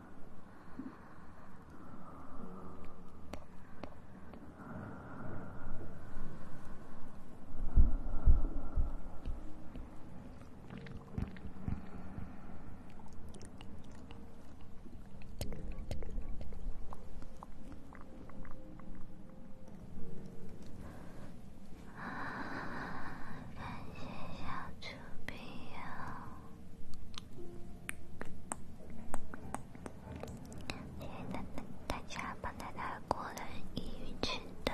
感谢小主编。谢谢大大家帮奶奶过了抑郁症的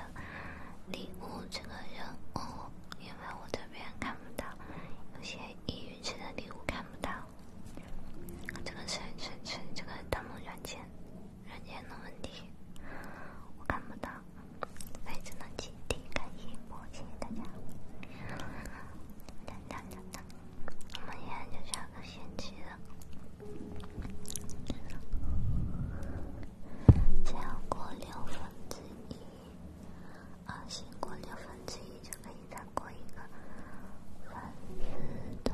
礼物这个任务，因为我这边看不到，有些抑郁症的礼物看不到。这个是是是这个弹幕软件软件的问题，我看不到。非常感激，感谢我，谢谢大家。等等等等。我们现在就下个星期了，再过六分之一啊，再过六分之一就可以再过一个分子的。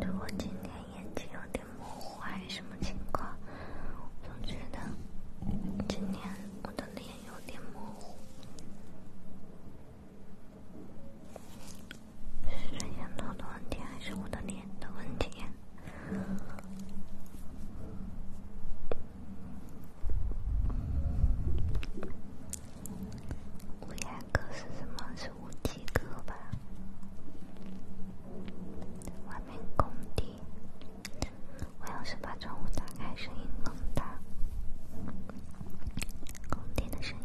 我今天眼睛有点模糊，还是什么情况？总觉得今天我的脸有点模糊，是摄像头的问题，还是我的脸的问题？五颜哥是什么？是？五几个吧，外面工地。我要是把窗户打开，声音更大。工地的声音。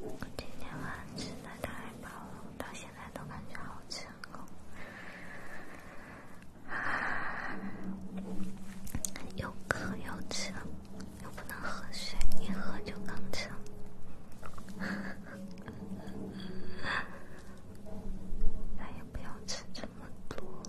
我今天晚吃的太饱了，到现在都感觉好撑又渴又撑，又不能喝水，一喝就更撑。咱也不要吃这么多。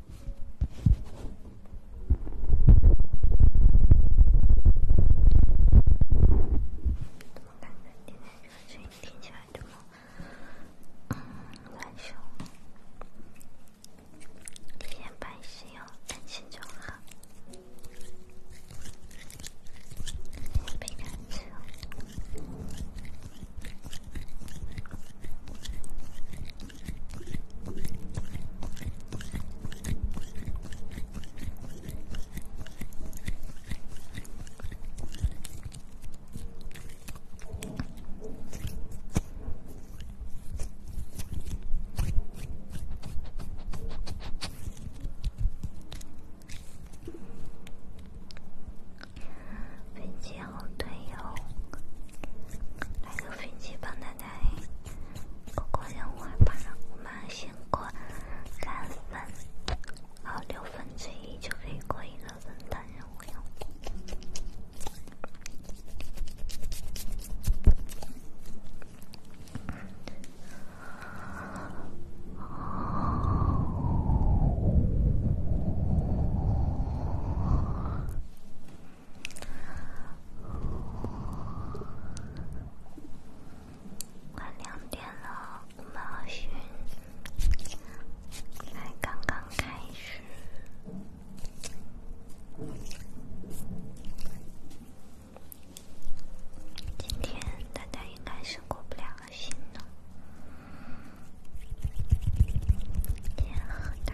怎么感觉今天这个声音听起来这么难受？别担心哦，担心就好。别担心哦。飞机好队友，来个飞机帮他。来，过关任务吧！我们先过三分，然后六分之一就可以过一个分段任务了。快两点了，马旭才刚刚开始。今天大家应该是过不了了，心了。天很大。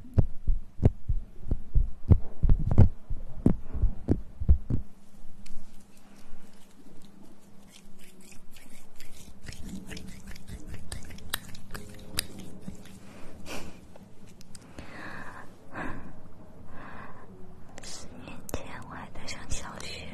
四年前，我还在上小学。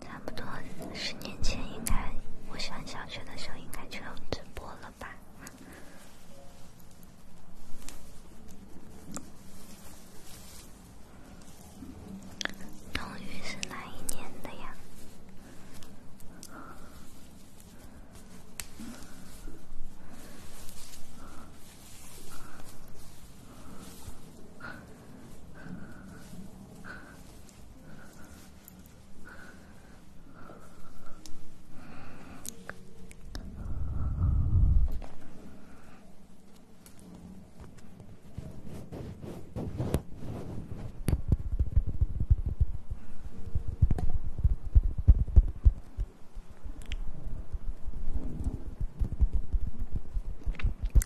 差不多十年前，应该我上小学的时候，应该就有直播了吧。冬雨是哪一年的呀？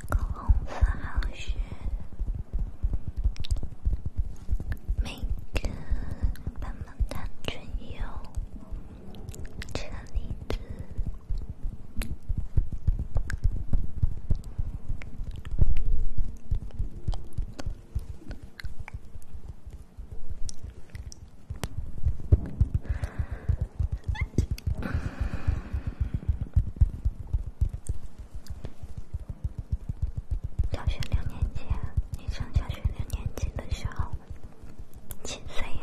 高红丝好学，每个棒棒糖都有。小学六年级，你上小学六年级的时候。亲孙爷。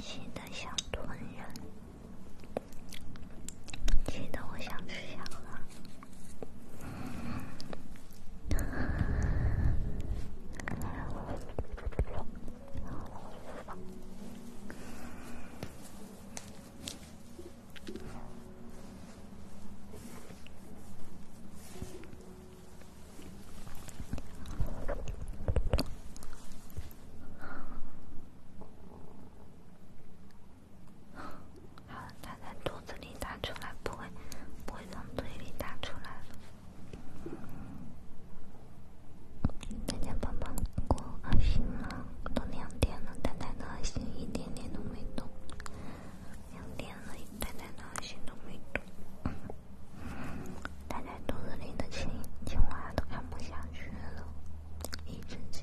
气得想吞人，气得我想吃香了。好了，它在肚子里打出来，不会不会从嘴里打出来了。今天棒棒过二十吗？都两天了，蛋蛋的心一点点都没动。两点了，大家都在心都没动，大家肚子里的青青蛙都看不下去了，一直叫。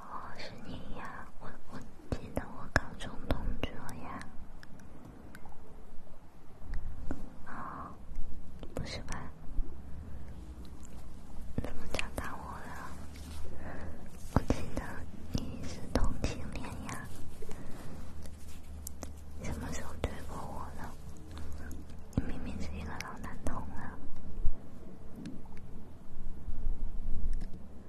哦，是你呀！我我记得我高中同桌呀。哦，不是吧？怎么讲打我了？我记得你是同性恋呀？什么时候追过我了？你明明是一个老男同了。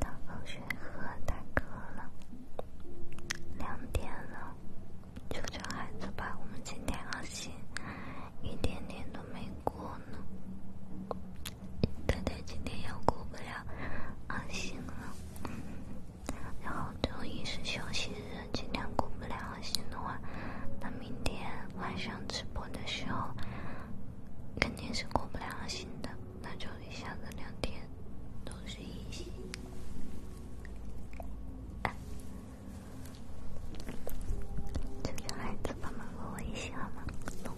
到放学和大哥了，两点了，求求孩子吧，我们今天要醒，一点点都没过呢。太太今天要过不了，安心了。然后周一是休息日，今天过不了安心的话，那明天晚上直播的时候，跟。你是过不了心的，那就一下子两天都是一星。这个孩子帮忙给我一星好吗？等，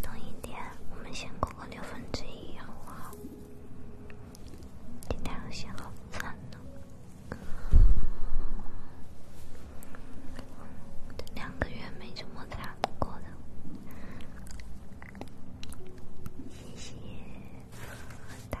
等一天，我们先过个六分之一好不好？今天星好惨呢。两个月没这么惨过了，谢谢他。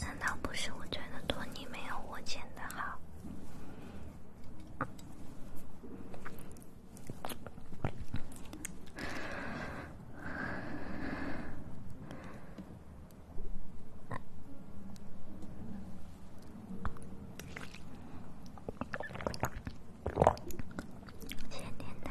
难道不是我觉得托尼没有我剪的好？咸甜的。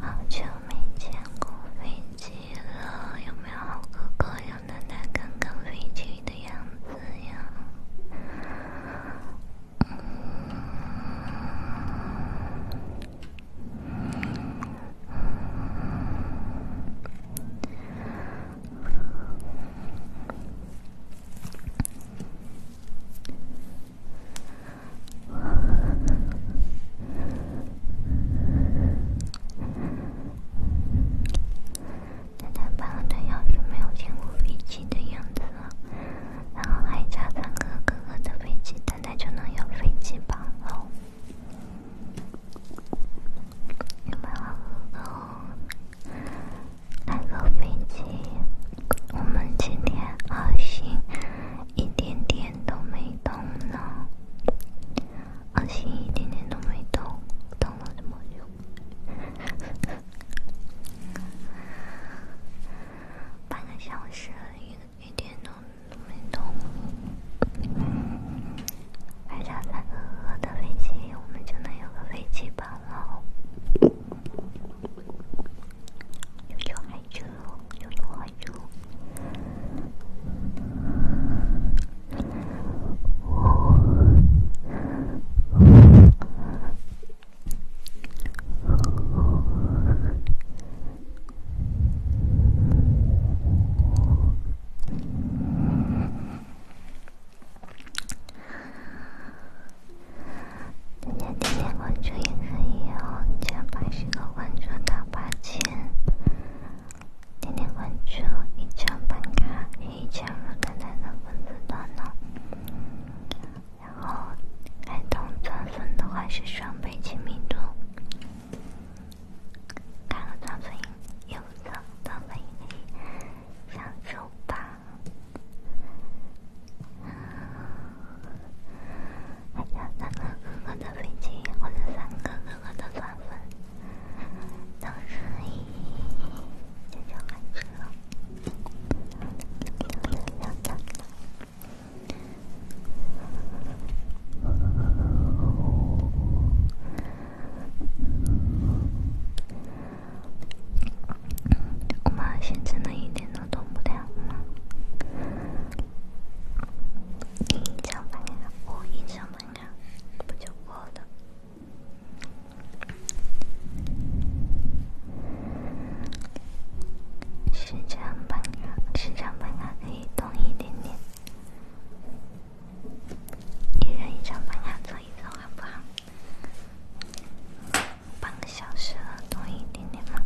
好久没见过飞机了，有没有好哥哥要带带看看飞机的样子呀？等待半个太就没有见过飞机的样子然后还差三哥哥的飞机，等就能有飞机榜喽。有没有来个飞机？我们今天阿星一点点都没动呢，阿星一点点都没动，动了这么久，半个小时一一点都不没动。还差三个鹅的飞机，我们就能有个飞机本了。就害羞，就害羞。大家点点关注也可以哦，加八十个关注到八千。点点关注一千粉卡，一千粉卡才能粉丝多少？然后开通钻粉的话是双倍亲密度。看看短粉影影子，短粉影享受吧。还有三个哥哥的飞机，或者三个哥哥的短粉，短粉影影，这就开始了。我嘛，也只能一点都都不太好嘛。一上班呀，我一上班呀，不就过了？是这样吧？是可以动一点点。一人一张床，坐一坐好不好？半个小时了，多一点点吗？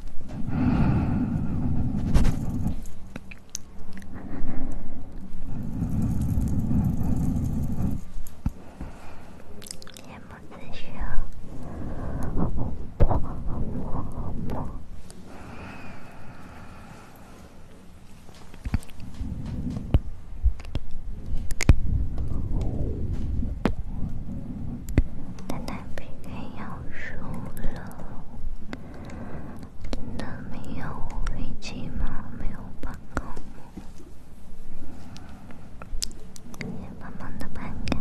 夜幕子轩。奶奶 PK 要输了，真的没有运气吗？没有办法，慢慢的放开。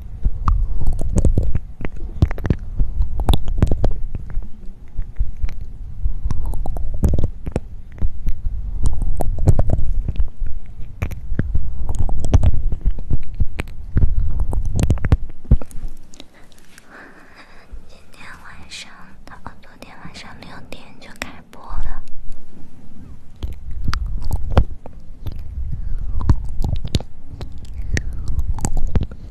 今天晚上，他昨天晚上六点就开播了。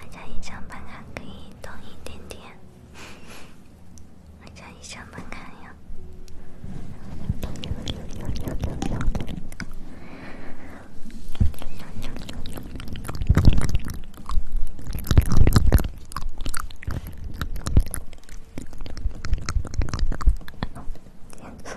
我家一上班还可以动一点点，我家一上班呀。点错。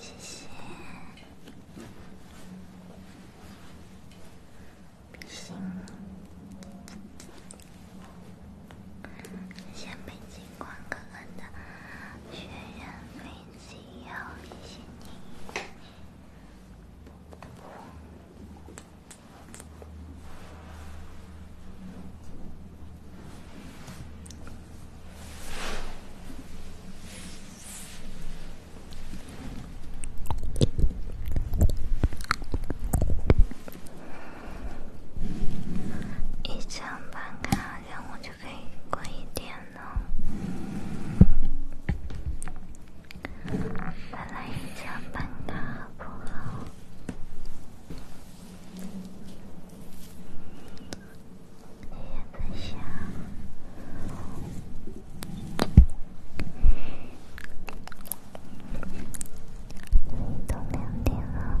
谢谢，比心。谢谢北京光哥哥的雪人飞机，要比心你。不不不。一张办卡，然后就可以过一天了。本来想帮他，不好。爷爷在想，都两点了。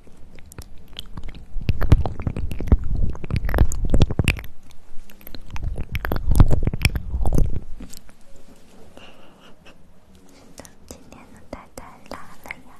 真的，今天的太太辣了呀！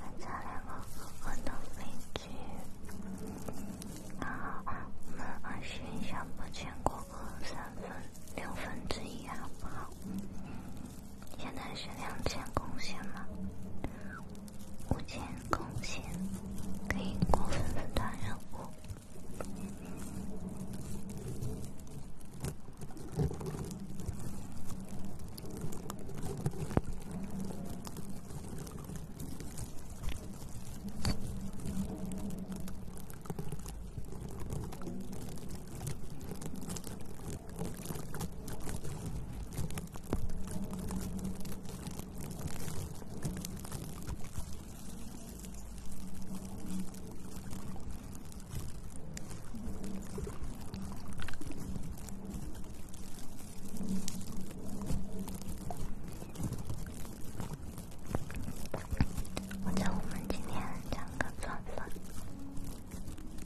按照两个哥哥面积，然后我们按选项不填哥哥三分六分之一，好不好？嗯现在是两千贡献吗？五千贡献可以过分组团任务。我觉我们今天讲个算算。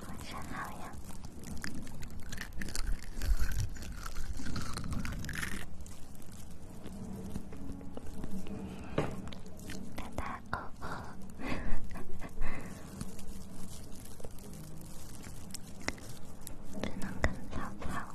晚上好呀，能跟曹操。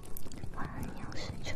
万牛失重。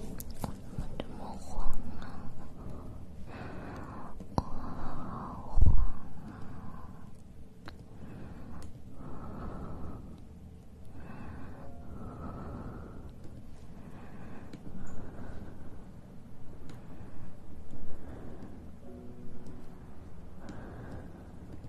我怎么这么慌啊！我慌。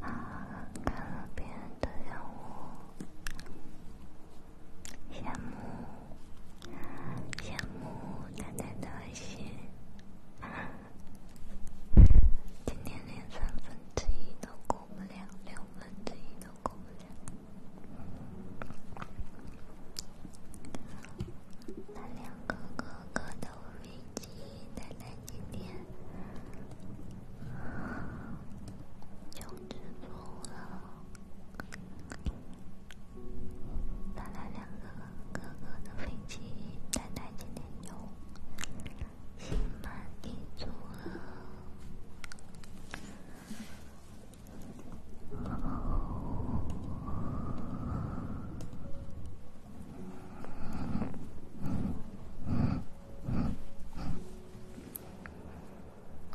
啊，看别人的让我羡慕，羡慕。奶奶的鞋，今天连三分之一都过不了，六分之一都过不了。两个哥哥的飞机，奶奶今天就知足了。带来两个哥哥的飞机，丹丹今天有心满意足了。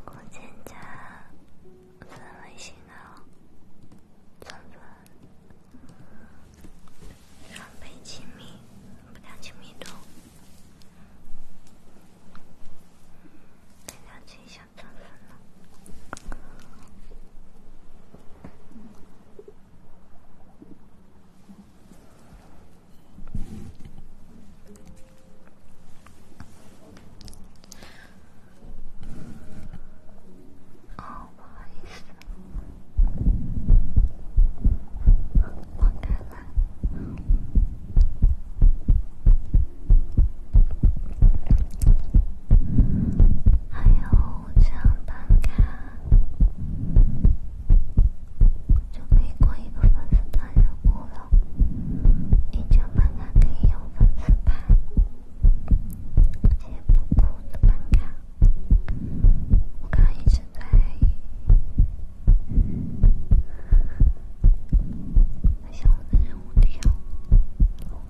我先查。分为性能、增粉、双倍亲密度、能量亲密度、能量倾向增粉呢。哦，不好意思，放开了。还有，我这卡就可以过一个粉丝大任务了。一张办卡可以用粉丝牌。我今天不哭的打卡，我刚刚一直在想我的任务条啊，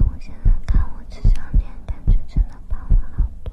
我现在看我这张脸感觉真的胖了好多。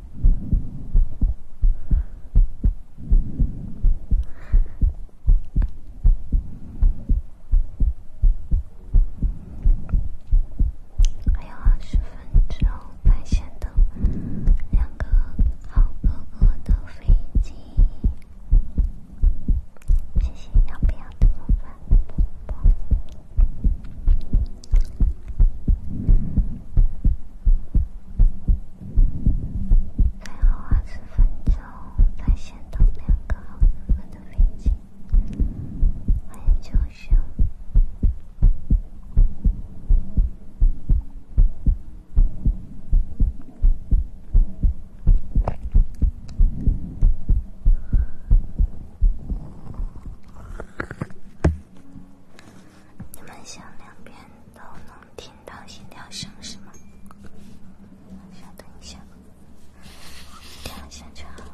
还有二十分钟，在线的两个好哥哥的飞机，谢谢杨飘飘的魔法啵啵。再熬二十分钟，再先等两个好人们的飞机，欢迎救生。你们想两边都能听到心跳声是吗？稍等一下，调一下就好了。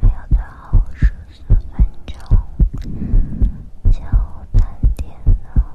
还有最后十四分钟，就三点了。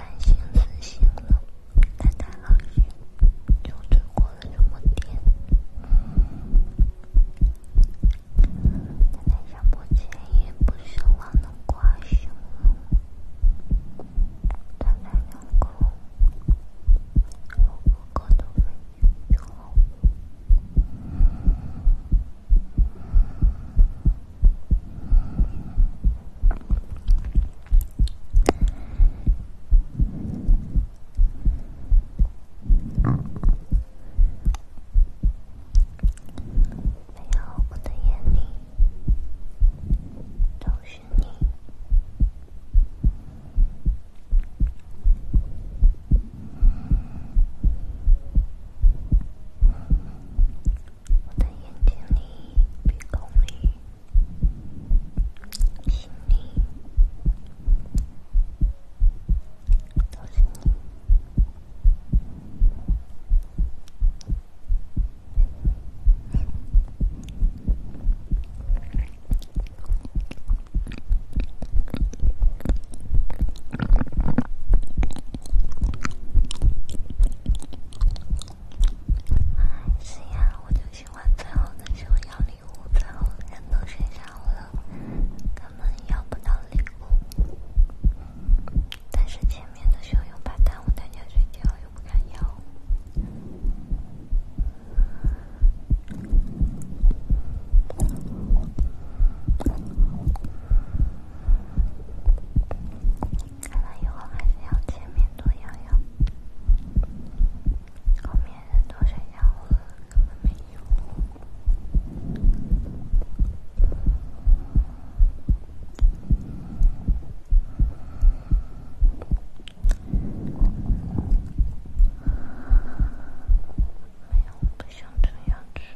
担心死心了，太太好心，就只过了这么点。太太想破千，也不奢望能挂上。太太辛苦，如果过得顺利就好。没有，我的眼里都是你。我的眼睛里、鼻孔里、心里、我的心。是呀，我就喜欢最后的时候要礼物，最后人都睡下了，根本要不到礼物。但是前面的时候又怕耽误大家睡觉，又不敢要。看来以后还是要前面多咬咬，后面人多睡觉了，根本没有。哎呀，我不想吃牙齿。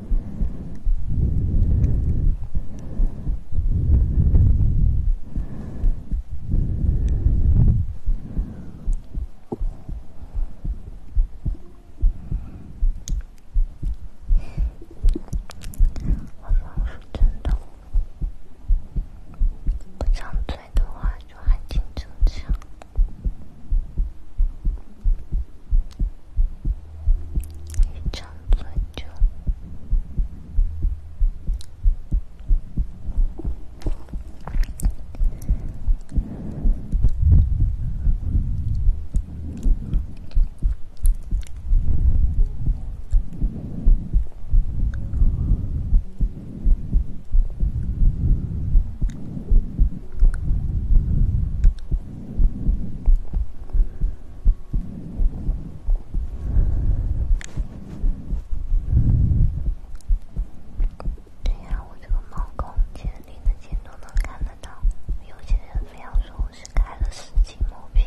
我刚说真的，不张嘴的话就还挺正常。一唱再叫。对呀，我这个猫狗，近的近都能看得到，有些人非要说我是开了十几亩屏。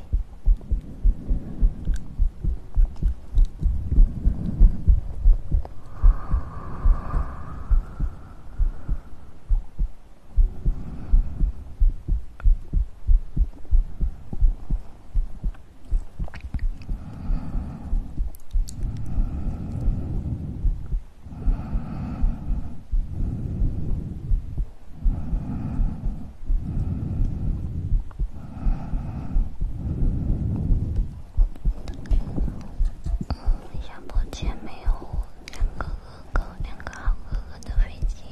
我目前没有两个哥哥，两个好哥哥的飞机。